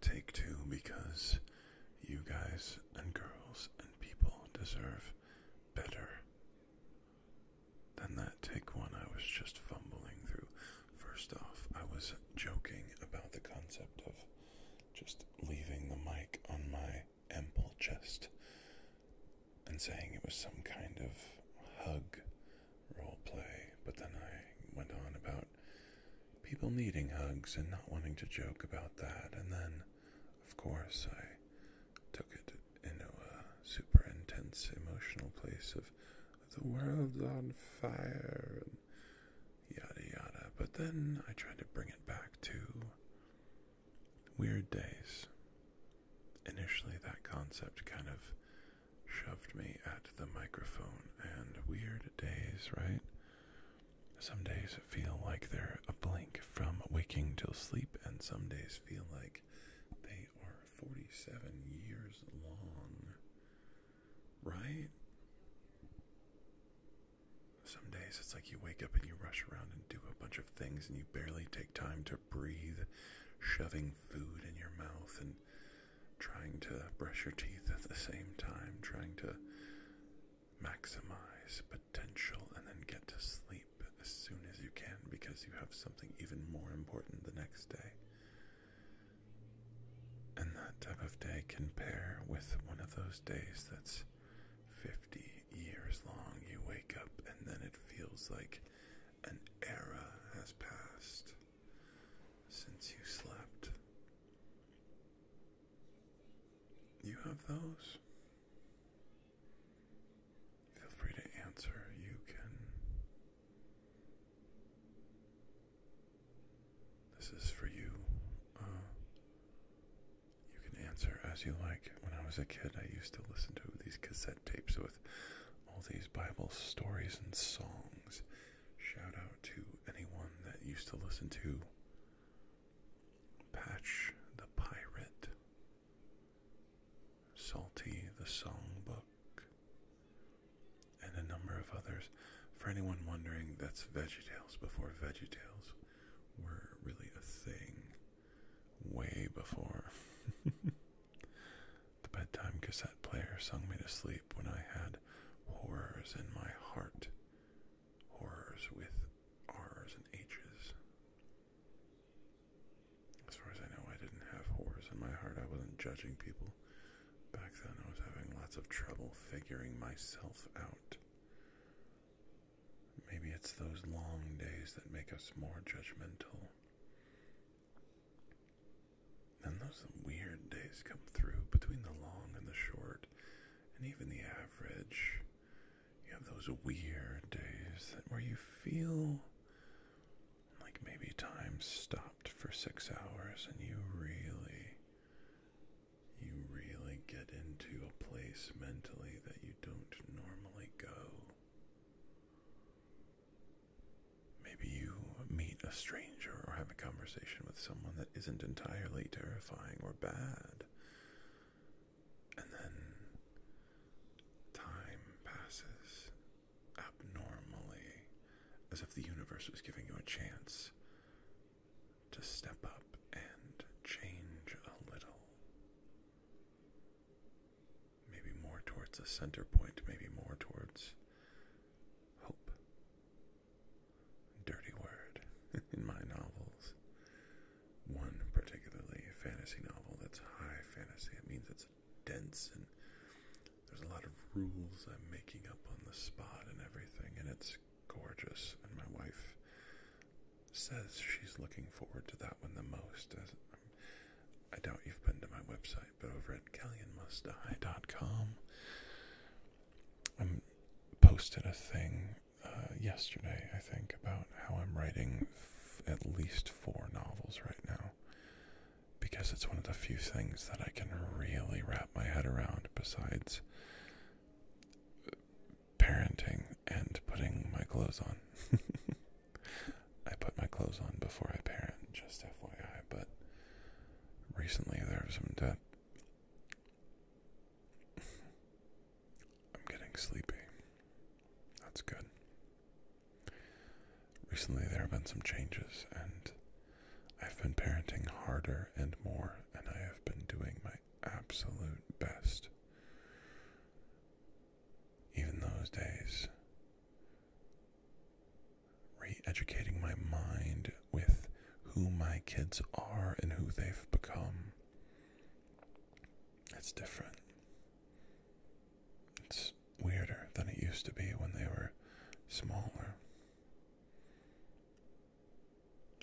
Take two because you guys and girls and people deserve better than that. Take one, I was just fumbling through. First off, I was joking about the concept of just leaving the mic on my ample chest and saying it was some kind of hug role play, but then I went on about people needing hugs and not wanting to joke about that, and then, of course, I took it into a super intense emotional place of the world's on fire yada yada. But then I tried to bring it back to weird days. Initially, that concept kind of shoved me at the microphone. And weird days, right? Some days feel like they're a blink from waking till sleep, and some days feel like they are 47 years long, right? Some days it's like you wake up and you rush around and do a bunch of things, and you barely take time to breathe, shoving food in your mouth and trying to brush your teeth at the same time, trying to maximize potential and then get to sleep as soon as you can because you have something even more important the next day. And that type of day can pair with one of those days that's 50 years long. You wake up and then it feels like an era has passed since you slept. You have those? Feel free to answer. You can. This is for you. Uh, you can answer as you like. When I was a kid, I used to listen to these cassette tapes with all these Bible stories and songs. Shout out to anyone that used to listen to Patch the Pirate, Salty the Songbook, and a number of others. For anyone wondering, that's VeggieTales before VeggieTales were really a thing way before. The bedtime cassette player sung me to sleep when I had horrors in my heart. Horrors with R's and H's. As far as I know, I didn't have horrors in my heart. I wasn't judging people. Back then, I was having lots of trouble figuring myself out. Maybe it's those long days that make us more judgmental. And those weird days come through between the long and the short, and even the average. You have those weird days where you feel like maybe time stopped for six hours and you really you really get into a place mentally that you don't normally go Maybe you meet a stranger or have a conversation with someone that isn't entirely terrifying or bad. And then time passes abnormally, as if the universe was giving you a chance to step up and change a little. Maybe more towards a center point, maybe more towards hope. Dirty word in my novels. One particularly fantasy novel that's high fantasy. It means it's dense and there's a lot of rules I'm making up on the spot and everything, and it's gorgeous. And my wife says she's looking forward to that one the most. As I doubt you've been to my website website, but over at GalleonMustDie.com, I um, posted a thing uh, yesterday, I think, about how I'm writing at least four novels right now because it's one of the few things that I can really wrap my head around besides parenting and putting my clothes on. I put my clothes on before I parent, just FYI, but recently there some debt. I'm getting sleepy. That's good. Recently, there have been some changes, and I've been parenting harder and more, and I have been doing my absolute best. Even those days re educating my mind with who my kids are and who they've become. It's different. It's weirder than it used to be when they were smaller.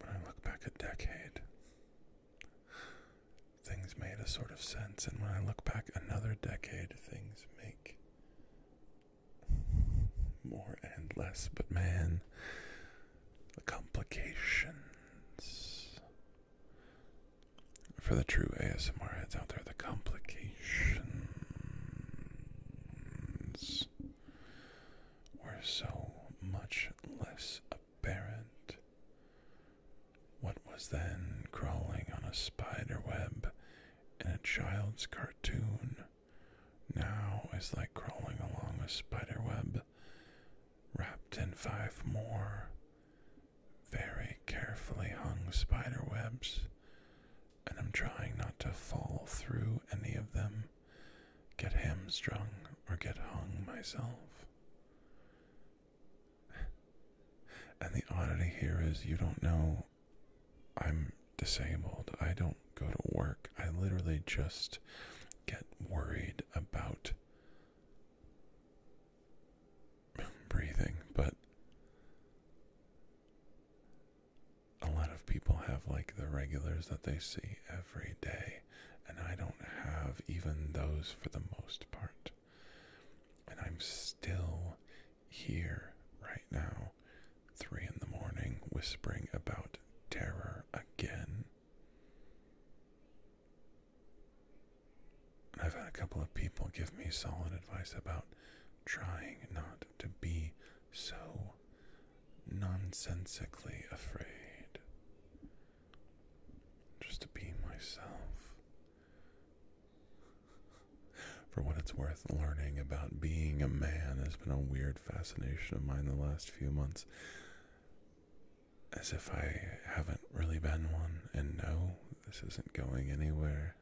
When I look back a decade, things made a sort of sense, and when I look back another decade, things make more and less, but man, the complications. For the true ASMR heads out there, the complications were so much less apparent. What was then crawling on a spider web in a child's cartoon now it's like crawling along a spider web, wrapped in five more very carefully hung spider webs, and I'm trying not to fall through any of them, get hamstrung, or get hung myself. And the oddity here is you don't know I'm disabled. I don't go to work. I literally just get worried about breathing, but a lot of people have like the regulars that they see every day, and I don't have even those for the most part. And I'm still here right now three in the morning, whispering about terror again. I've had a couple of people give me solid advice about trying not to be so nonsensically afraid. Just to be myself. For what it's worth, learning about being a man has been a weird fascination of mine the last few months. As if I haven't really been one, and no, this isn't going anywhere.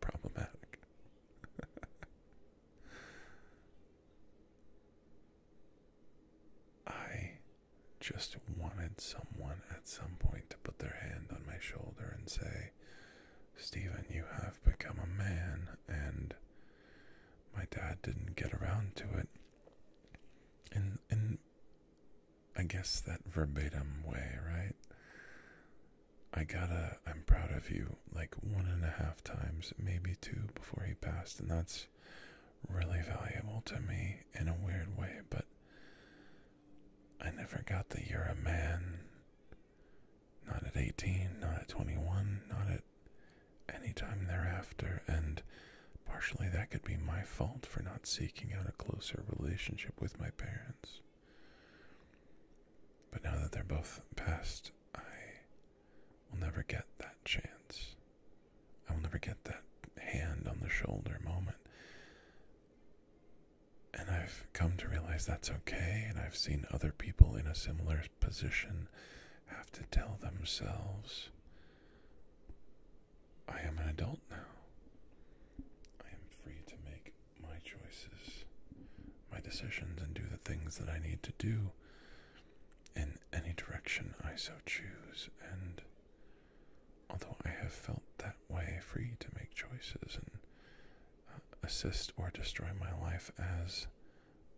Problematic. I just wanted someone at some point to put their hand on my shoulder and say, Stephen, you have become a man, and my dad didn't get around to it. In in I guess that verbatim way, right? I gotta I'm proud of you like one and a half times, maybe two before he passed, and that's really valuable to me in a weird way, but I never got that you're a man not at 18, not at 21, not at any time thereafter, and partially that could be my fault for not seeking out a closer relationship with my parents. But now that they're both past, I will never get that chance. I will never get that hand on the shoulder moment. And I've come to realize that's okay, and I've seen other people in a similar position have to tell themselves, I am an adult now. I am free to make my choices, my decisions, and do the things that I need to do in any direction I so choose. And although I have felt that way, free to make choices and assist or destroy my life as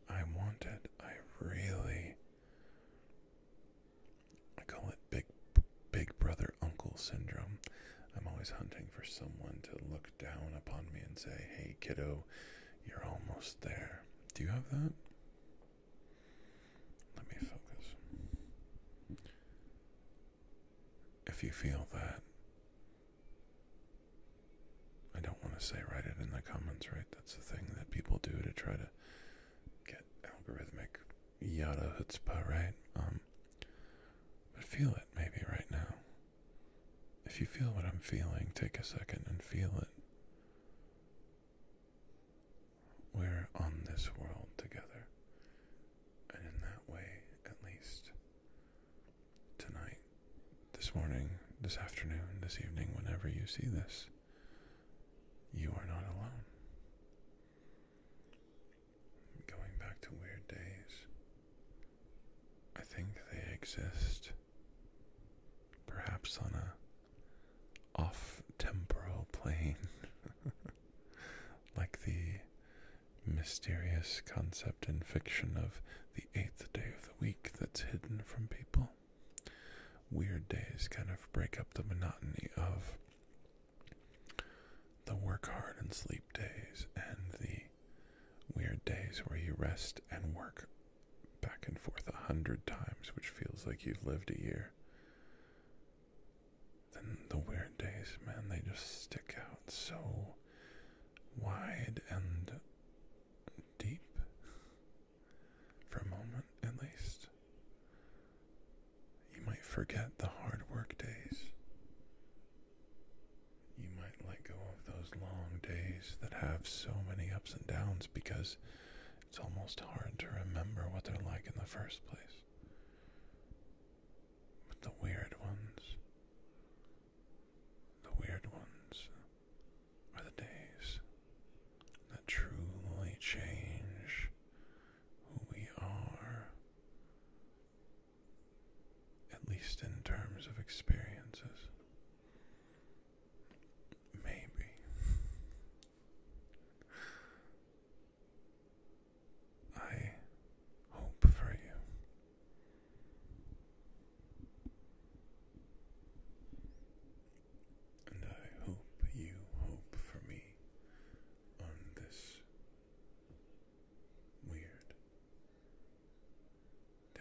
I want it. I really. I call it big, big brother uncle syndrome. I'm always hunting for someone to look down upon me and say, hey, kiddo, you're almost there. Do you have that? Let me focus if you feel that. I don't want to say write it in the comments, right? That's the thing that people do to try to get algorithmic yada hutzpah, right? Um, but feel it maybe right now. If you feel what I'm feeling, take a second and feel it. We're on this world together, and in that way, at least, tonight, this morning, this afternoon, this evening, whenever you see this, you are not alone. Going back to weird days, I think they exist perhaps on a off temporal plane, like the mysterious concept in fiction of the eighth day of the week that's hidden from people. Weird days kind of break up the monotony of the work hard and sleep days and the weird days where you rest and work back and forth a hundred times, which feels like you've lived a year. Then the weird days, man, they just stick out so wide and deep for a moment at least. You might forget the hard work days. You might let go of those long days that have so many ups and downs because it's almost hard to remember what they're like in the first place. But the weird ones, the weird ones are the days that truly change who we are, at least in terms of experiences. Maybe. I hope for you and I hope you hope for me on this weird day.